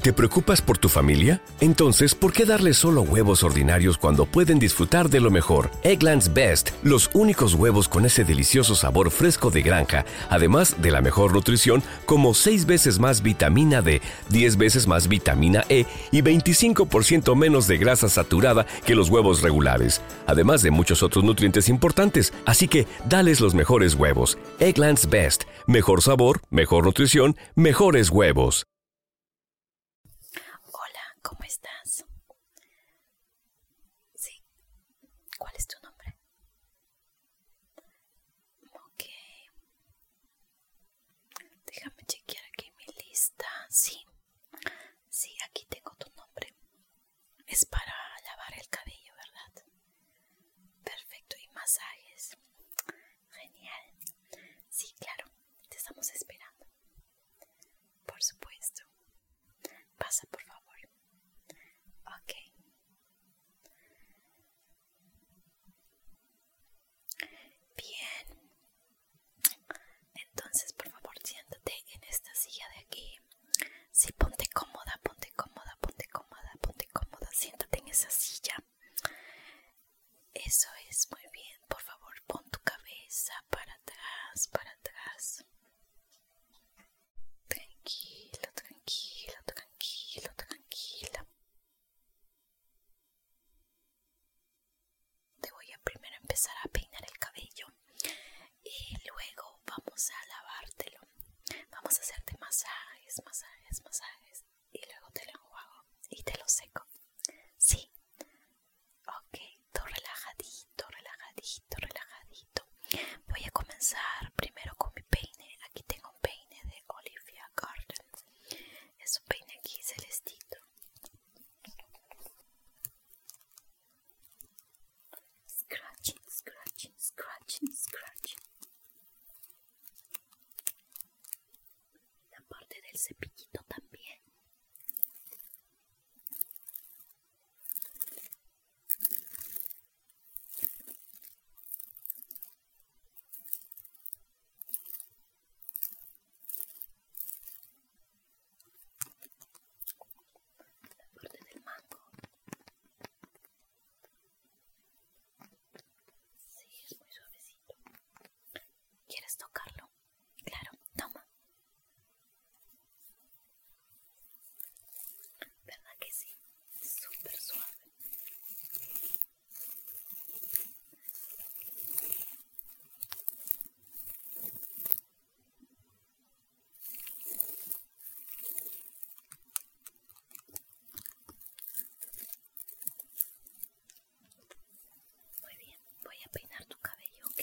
¿Te preocupas por tu familia? Entonces, ¿por qué darle solo huevos ordinarios cuando pueden disfrutar de lo mejor? Eggland's Best, los únicos huevos con ese delicioso sabor fresco de granja, además de la mejor nutrición, como 6 veces más vitamina D, 10 veces más vitamina E y 25% menos de grasa saturada que los huevos regulares, además de muchos otros nutrientes importantes. Así que, dales los mejores huevos. Eggland's Best, mejor sabor, mejor nutrición, mejores huevos. Hola, ¿cómo estás? Sí. ¿Cuál es tu nombre? Ok. Déjame chequear aquí mi lista. Sí. Sí, aquí tengo tu nombre. Es para lavar el cabello, ¿verdad? Perfecto, y masajes. Genial. Sí, claro, te estamos esperando. Por supuesto. Pasa, por favor. Ok. Bien. Entonces, por favor, siéntate en esta silla de aquí. Sí, ponte cómoda, ponte cómoda, ponte cómoda, ponte cómoda, siéntate en esa silla. Eso es muy bien, por favor, pon tu cabeza para atrás, para atrás. Tranquilo, tranquilo, tranquilo, tranquila. Te voy a primero empezar a peinar el cabello y luego vamos a lavártelo. Vamos a hacerte masajes, masajes, masajes. Y luego te lo enjuago y te lo seco. Sí. Ok, todo relajadito, relajadito, relajadito. Voy a comenzar primero con mi peine. Aquí tengo un peine de Olivia Garden. Es un peine aquí celestito. Scratching, scratching, scratching, scratching la parte del cepillito también la parte del mango Sí, es muy suavecito. ¿Quieres tocarlo? Claro, toma. ¿Verdad que sí? Súper suave. Muy bien, voy a peinar tu cabello, ¿ok?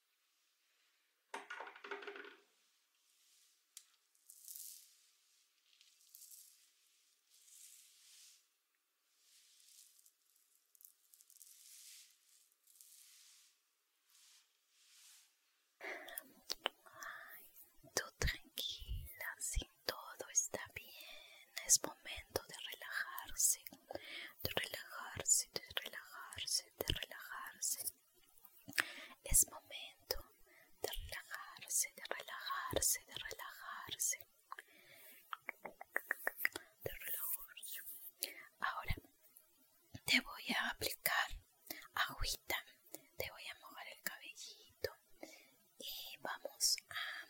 tú tranquila, sin todo está bien, es momento de relajarse de relajarse, de relajarse, de relajarse. Es momento de relajarse, de relajarse, de relajarse. De relajarse. Ahora te voy a aplicar agüita, te voy a mojar el cabellito y vamos a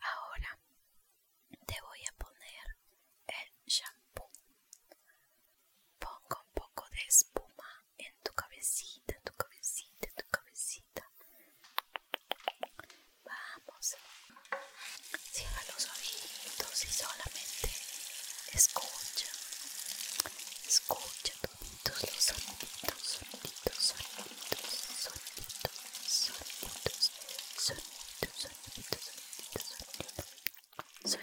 Ahora te voy a poner el shampoo. Ponga un poco de espuma en tu cabecita, en tu cabecita, en tu cabecita. Vamos. Cierra los ojitos y solamente escucha. Escucha todos los soniditos, soniditos, soniditos, sonidos, soniditos, sonidos, sonidos, sonidos, sonidos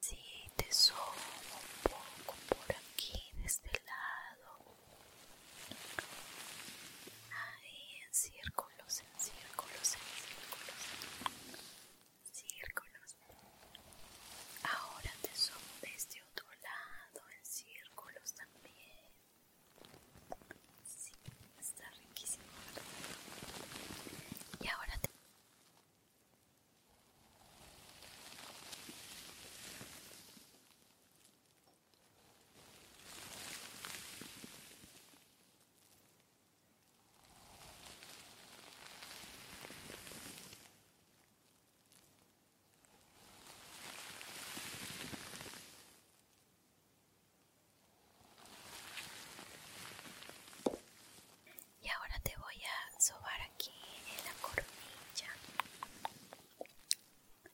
si, te subo un poco por aquí de este lado Ahí en círculos, en círculos, en círculos. Círculos. Ahora te de este otro lado en círculos también. Sí, está riquísimo. Y ahora te y ahora te voy a sobar aquí en la coronilla.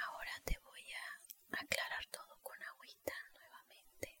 Ahora te voy a aclarar todo con agüita nuevamente.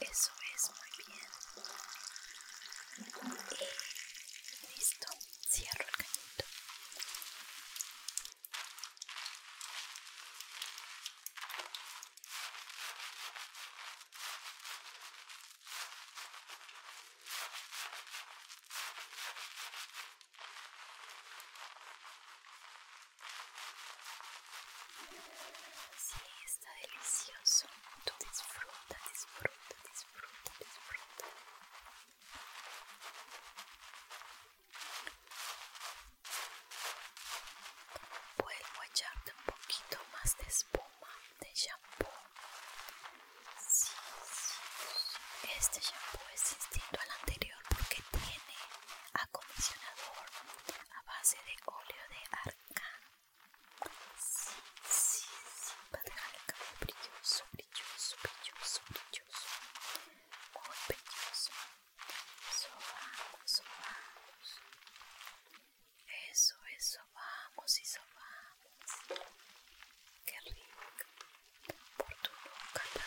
Eso es muy bien. Eh, listo, cierro el cañito. Sí, está delicioso. Tú disfruta, disfruta, disfruta, disfruta. Vuelvo a echarte un poquito más de espuma de shampoo. Sí, sí, este shampoo es distinto al anterior porque tiene acondicionador a base de óleo de arcán. Sí, sí, sí, Para a dejar el cabello brilloso, brilloso, brilloso, brilloso. Muy brilloso. Sobamos, sobamos. Eso, eso, vamos y vamos, Qué rico. Por tu boca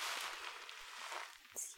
Sí.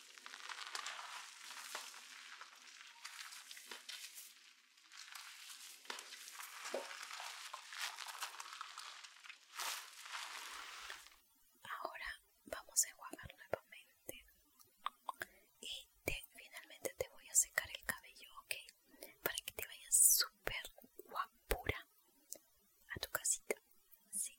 Ahora vamos a enjuagar nuevamente y finalmente te voy a secar el cabello, ¿ok? Para que te vayas súper guapura a tu casita, ¿sí?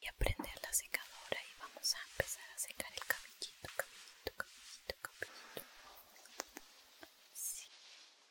Y a prender la secadora y vamos a empezar a secar el cabellito, cabellito, cabellito, cabellito.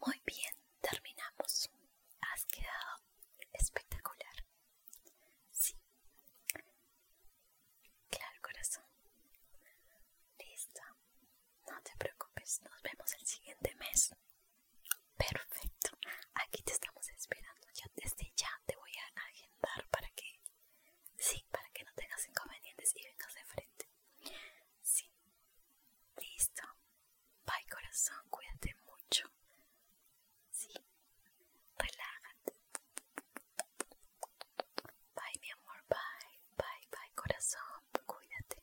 Muy bien, terminamos. Has quedado espectacular. Sí. Claro, corazón. Listo. No te preocupes, nos vemos el siguiente mes. Perfecto. Aquí te estamos esperando. Ya desde ya te voy a agendar para que Sí, para que no tengas inconvenientes y vengas de frente. Sí. Listo. Bye corazón, cuídate mucho. Sí. Relájate. Bye mi amor, bye. Bye, bye corazón, cuídate.